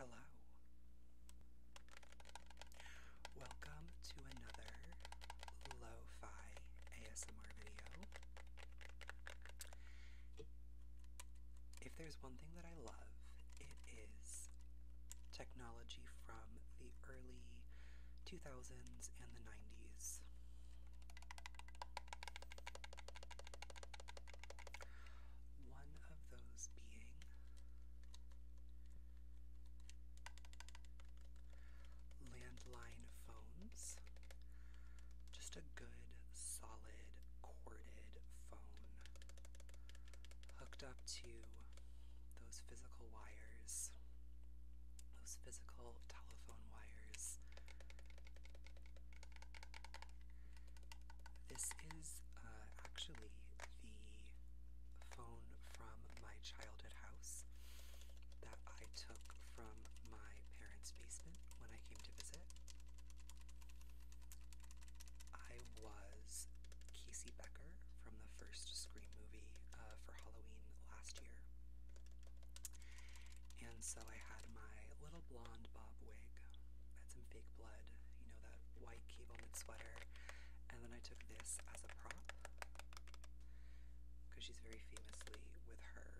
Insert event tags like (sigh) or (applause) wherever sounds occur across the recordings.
Hello. Welcome to another lo fi ASMR video. If there's one thing that I love, it is technology from the early 2000s and the 90s. One of those being landline phones, just a good, solid, corded phone hooked up to those physical wires, those physical telephone wires. This is uh, actually the phone from my childhood house that I took from my parents' basement when I came to visit. I was Casey Becker from the first Scream movie uh, for Halloween last year. And so I had my little blonde bob wig. That's some fake blood, you know, that white cable knit sweater. And then I took this as a prop because she's very famously with her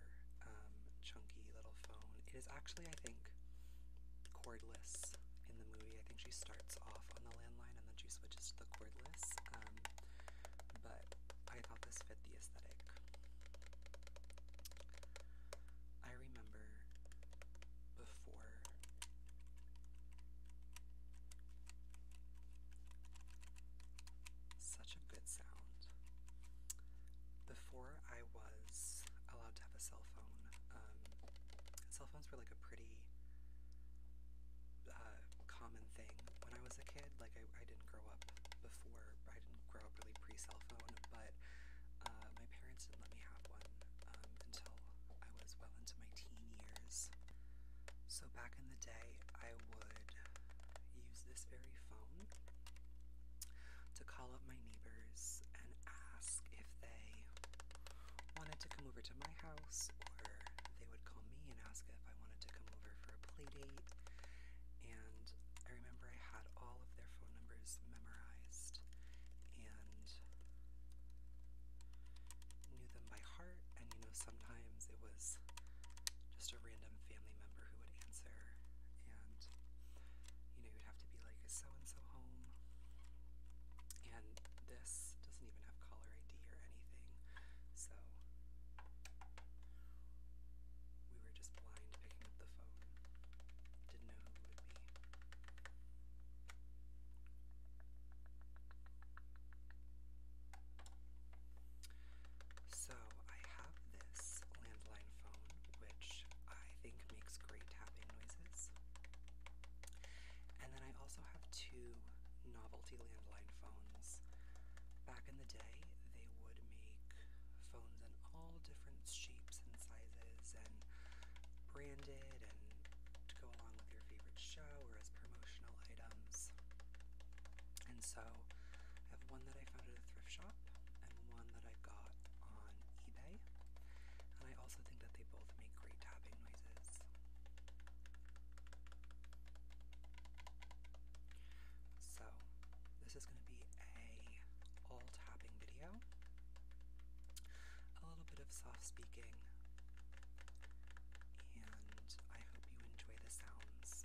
um, chunky little phone. It is actually, I think, cordless in the movie. I think she starts off on the landline and then she switches to the cordless. Um, but I thought this fit the aesthetic. I remember before such a good sound. Before I was allowed to have a cell phone, um, cell phones were like a pretty uh, common thing when I was a kid. Like, I, I didn't grow up before, I didn't grow up really pre cell phone, but uh, my parents didn't let me have one um, until I was well into my teen years. So back in the day, I would use this very phone to call up my neighbors and ask if they wanted to come over to my house or they would call me and ask if I wanted to come over for a play date. And I remember I had all of their phone numbers memorized and knew them by heart. And you know, sometimes it was just a random family member who would answer, and you know, you'd have to be like, Is so and so home? And this doesn't even have caller ID or anything, so we were just blind picking up the phone. Didn't know who it would be. So I have this landline phone, which I think makes great tapping noises. And then I also have two novelty landline phones. Back in the day, they would make phones in all different shapes and sizes and branded and to go along with your favorite show or as promotional items. And so I have one that I found at a thrift shop and one that I got on eBay. And I also think that they both make great tapping noises. So this is going to be a all tapping video. A little bit of soft speaking and I hope you enjoy the sounds.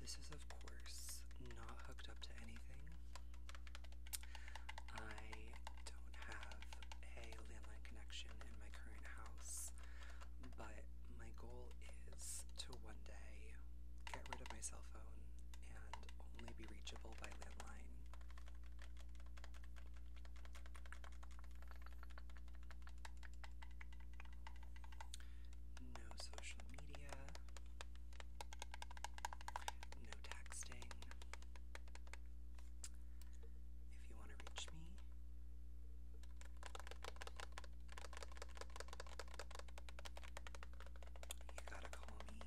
This is, of course, not hooked up to anything. I don't have a landline connection in my current house, but my goal is to one day get rid of my cell phone and only be reachable by landline. No social media. No texting. If you want to reach me, you gotta call me.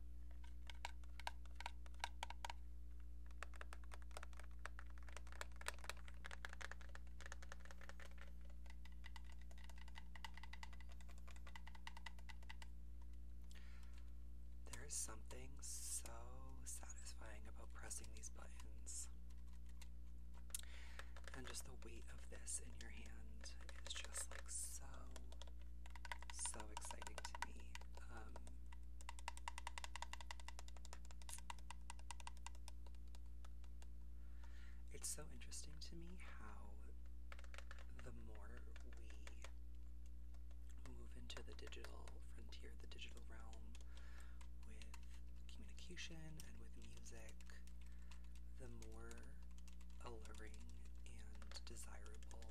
There is something so satisfying about pressing these buttons and just the weight of this in your hand is just like so, so exciting to me. Um, it's so interesting to me how the more we move into the digital frontier, the digital realm, with communication and with music, the more alluring and desirable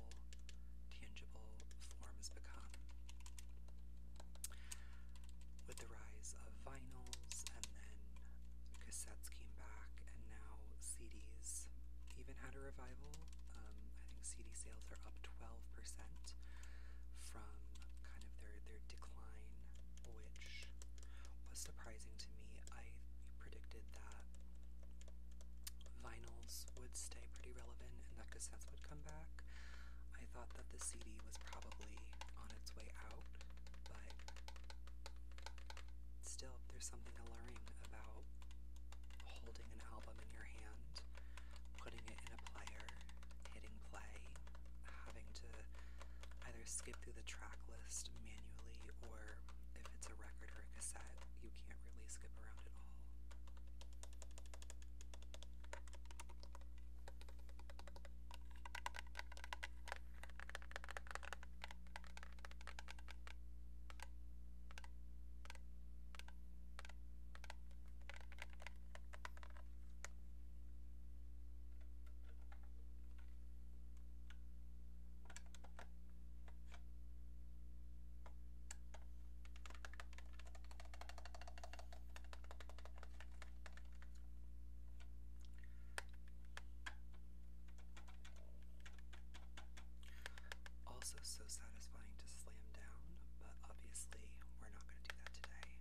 tangible forms become. With the rise of vinyls, and then cassettes came back, and now CDs even had a revival. Um, I think CD sales are up 12% from kind of their, their decline, which was surprising to me I predicted that vinyls would stay pretty relevant and that cassettes would come back. I thought that the CD was probably on its way out, but still, there's something alluring about holding an album in your hand, putting it in a player, hitting play, having to either skip through the track list manually or if it's a record or a cassette, you can't really skip around at all. Also, so satisfying to slam down, but obviously, we're not going to do that today.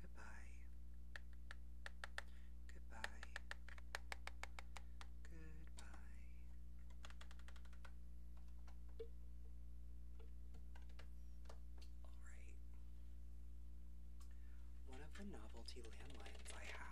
Goodbye. Goodbye. Goodbye. All right. One of the novelty landlines I have.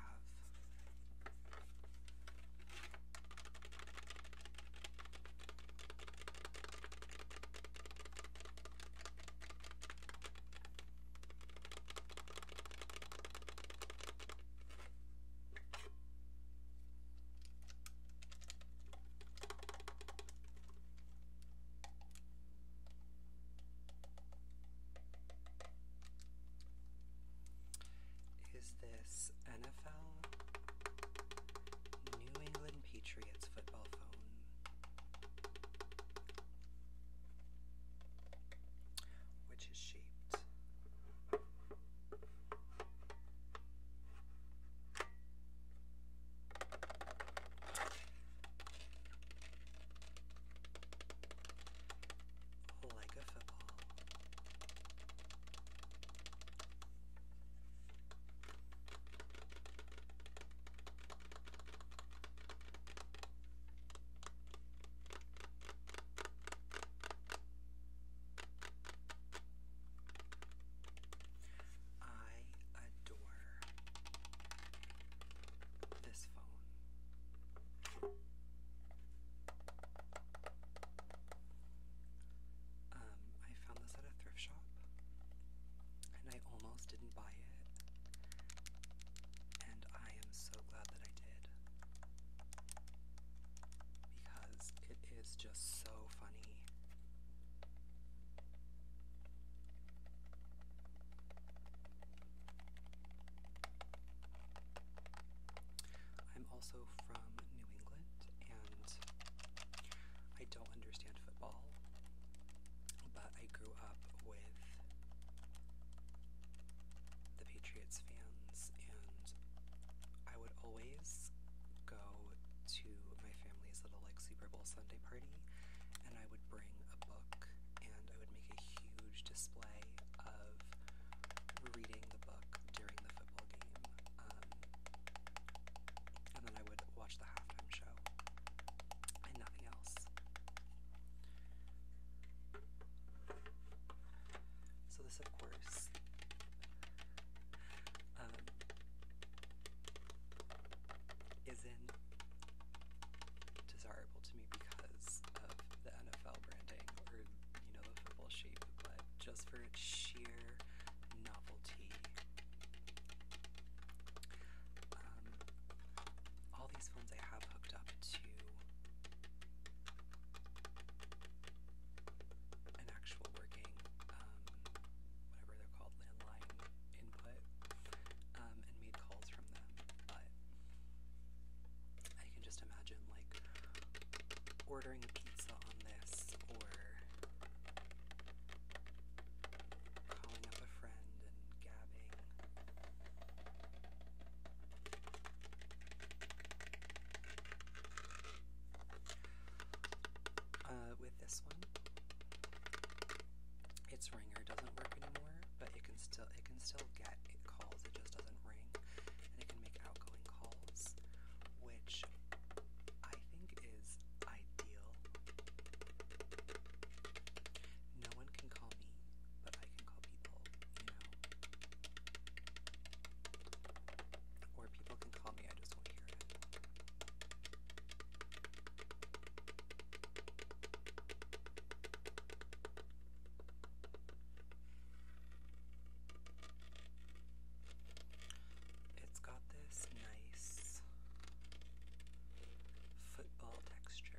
Is this NFL New England Patriots football phone? Which is shaped like oh, a football. I adore this phone. Um, I found this at a thrift shop and I almost didn't buy it. And I am so glad that I did. Because it is just so funny. I'm also from New England and I don't understand football, but I grew up with the Patriots fans and I would always go to my family's little like Super Bowl Sunday party and I would bring a book and I would make a huge display of reading the book during the football game. Um, and then I would watch the halftime show and nothing else. So, this, of course, um, is in desirable to me because of the NFL branding or you know the football shape, but just for its sheer novelty. Um, all these phones I have hooked up to an actual working, um, whatever they're called, landline input um, and made calls from them, but I can just imagine like ordering pizza on this or calling up a friend and gabbing. Uh, with this one, its ringer doesn't work anymore, but it can still it can still get calls. It just doesn't ring, and it can make outgoing calls, which I think is ideal. No one can call me, but I can call people, you know. Or people can call me. I just won't hear it. It's got this nice football texture.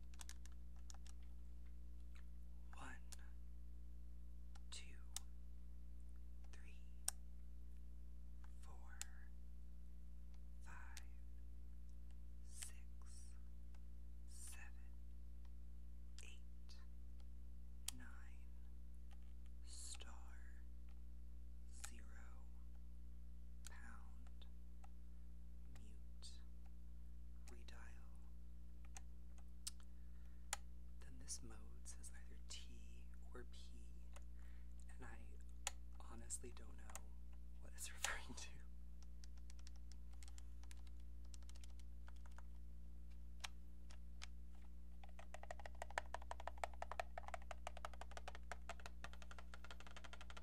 One, two, three, four, five, six, seven, eight, nine, star, zero, pound, mute, redial. Then this mode says either T or P, and I honestly don't know what it's (laughs) referring to.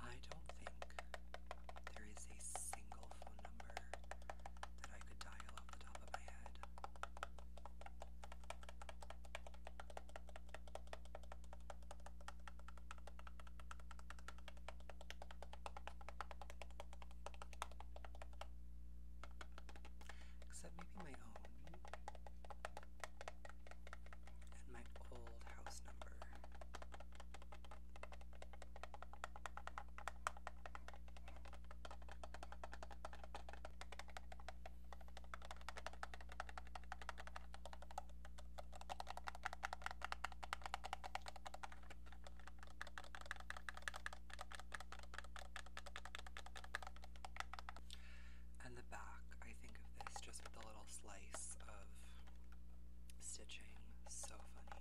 I don't think there is a single phone number that I could dial off the top of my head. Except maybe my own and my old house number. And the back, I think of this just with the little slice of stitching. So funny.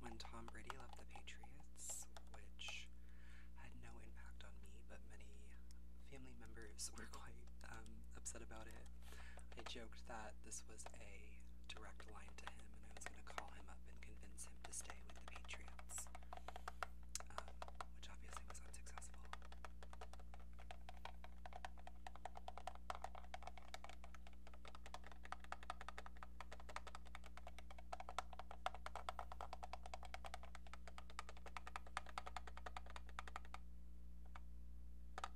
When Tom Brady left the Patriots, which had no impact on me, but many family members (laughs) were quite um, upset about it. I joked that this was a direct line to him, and I was going to call him up and convince him to stay with the Patriots, um, which obviously was unsuccessful.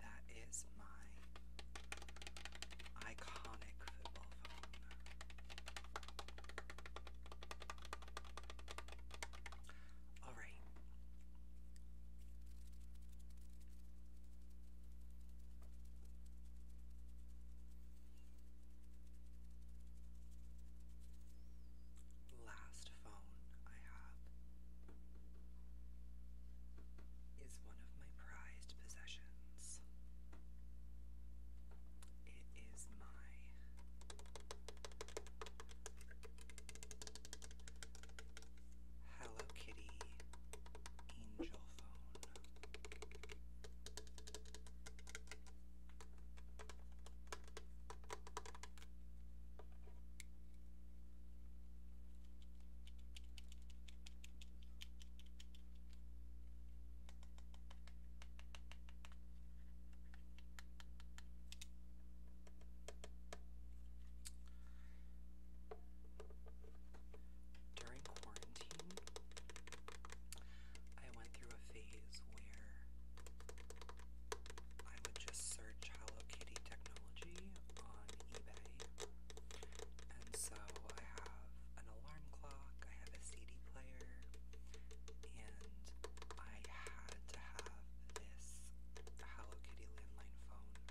That is my iconic football All right last phone I have is one of my prized possessions. It is my Hello Kitty Angel phone. During quarantine, I went through a phase where I would just search Hello Kitty technology on eBay. And so I have an alarm clock, I have a CD player, and I had to have this Hello Kitty landline phone.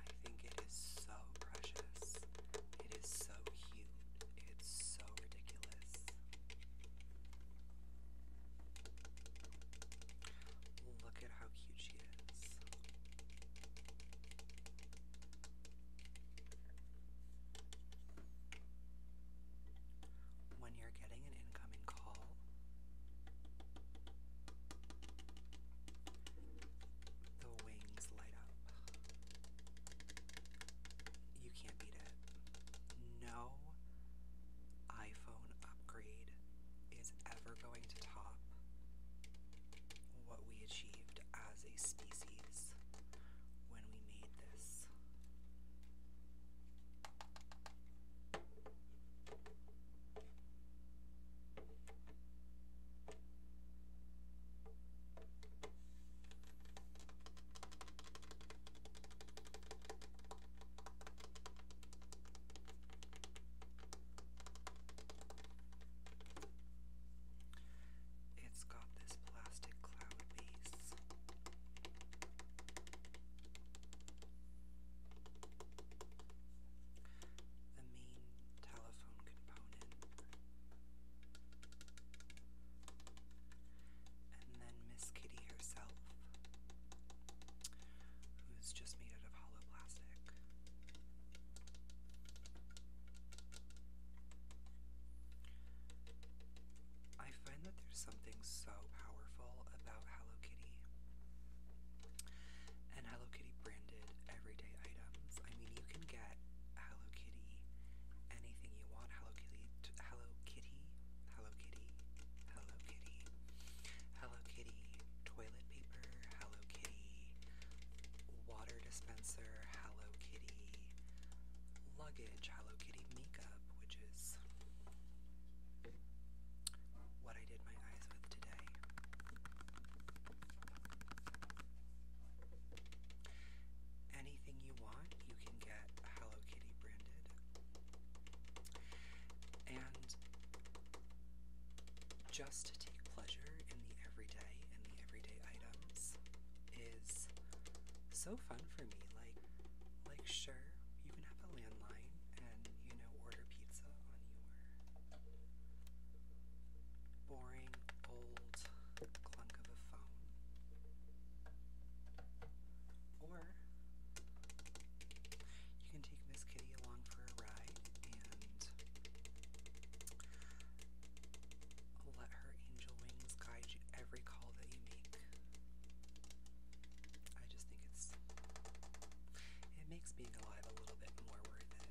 I think it is so precious. It is so cute. It's so ridiculous. Look at how cute she is. When you're getting an incoming call, the wings light up. You can't beat it. No iPhone upgrade is ever going to top what we achieved as a species when we made this. It's got this plastic cloud base. The main telephone component and then Miss Kitty herself, who's just made out of hollow plastic. I find that there's something so powerful about Hello Kitty and Hello Kitty branded everyday items. I mean, you can get Hello Kitty anything you want. Hello Kitty, Hello Kitty Hello Kitty, Hello Kitty, Hello Kitty, toilet paper, Hello Kitty, water dispenser, Hello Kitty, luggage, Hello Kitty makeup, which is what I did my eyes with today. Anything you want, you can get Hello Kitty branded and just take pleasure in the everyday and the everyday items is so fun for me like like sure you can have a landline and you know order pizza on your boring old clunk of a phone or you can take Miss Kitty along for a ride and let her angel wings guide you every call that you make. I just think it's it makes being alive a little bit more worth it.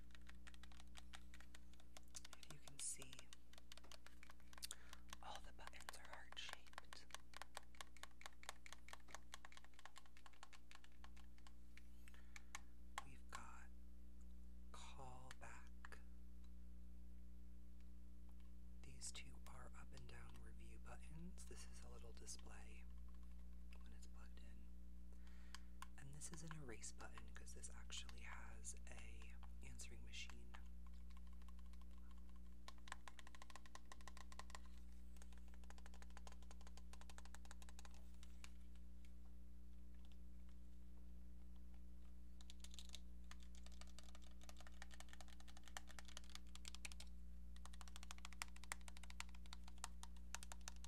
And you can see all the buttons are heart shaped. We've got call back. These two are up and down review buttons. This is a little display when it's plugged in. And this is an erase button because this actually has a answering machine.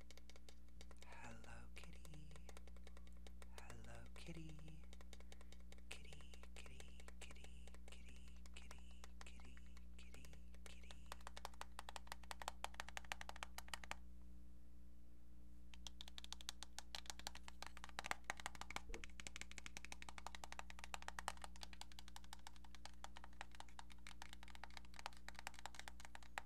Hello kitty. Hello kitty. Kitty, kitty, kitty, kitty, kitty, kitty, kitty, kitty. Hello,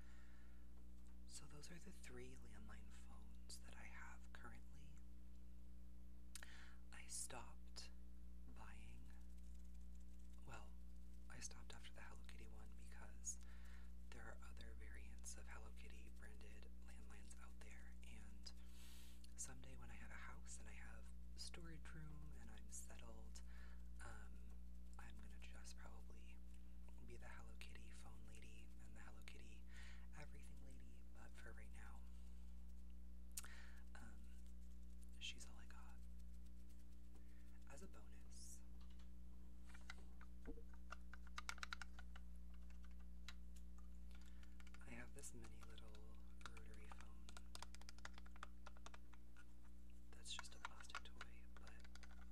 So, those are the three landline phones that I have currently. I stopped buying, well, I stopped after the Hello Kitty one because there are other variants of Hello Kitty branded landlines out there. And someday when I have a house and I have storage room and I'm settled, um, I'm gonna just probably be the Hello Kitty phone lady and the Hello Kitty everything lady, but for right now, um, she's all I got. As a bonus, I have this mini little rotary phone that's just a plastic toy, but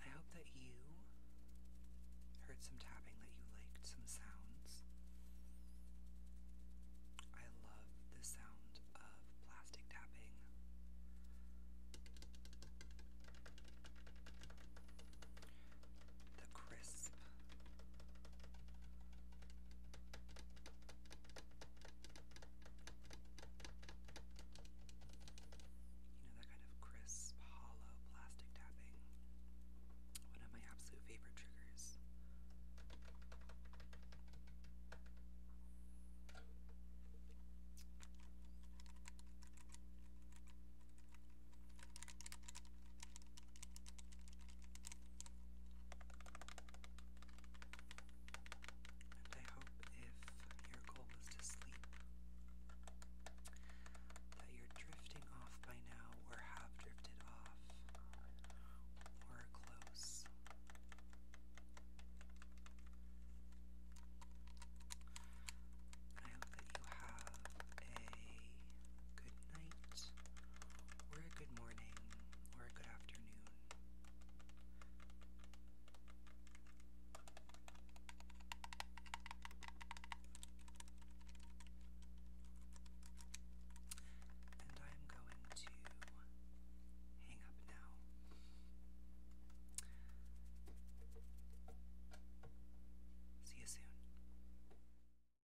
I hope that you heard some tapping, that you liked some sounds. I love the sound of plastic tapping the crisp. You know, that kind of crisp, hollow plastic tapping. One of my absolute favorite triggers. And I hope if your goal was to sleep, that you're drifting off by now, or have drifted off, or close. I hope that you have a good night we're a good morning or a good afternoon. And I'm going to hang up now. See you soon.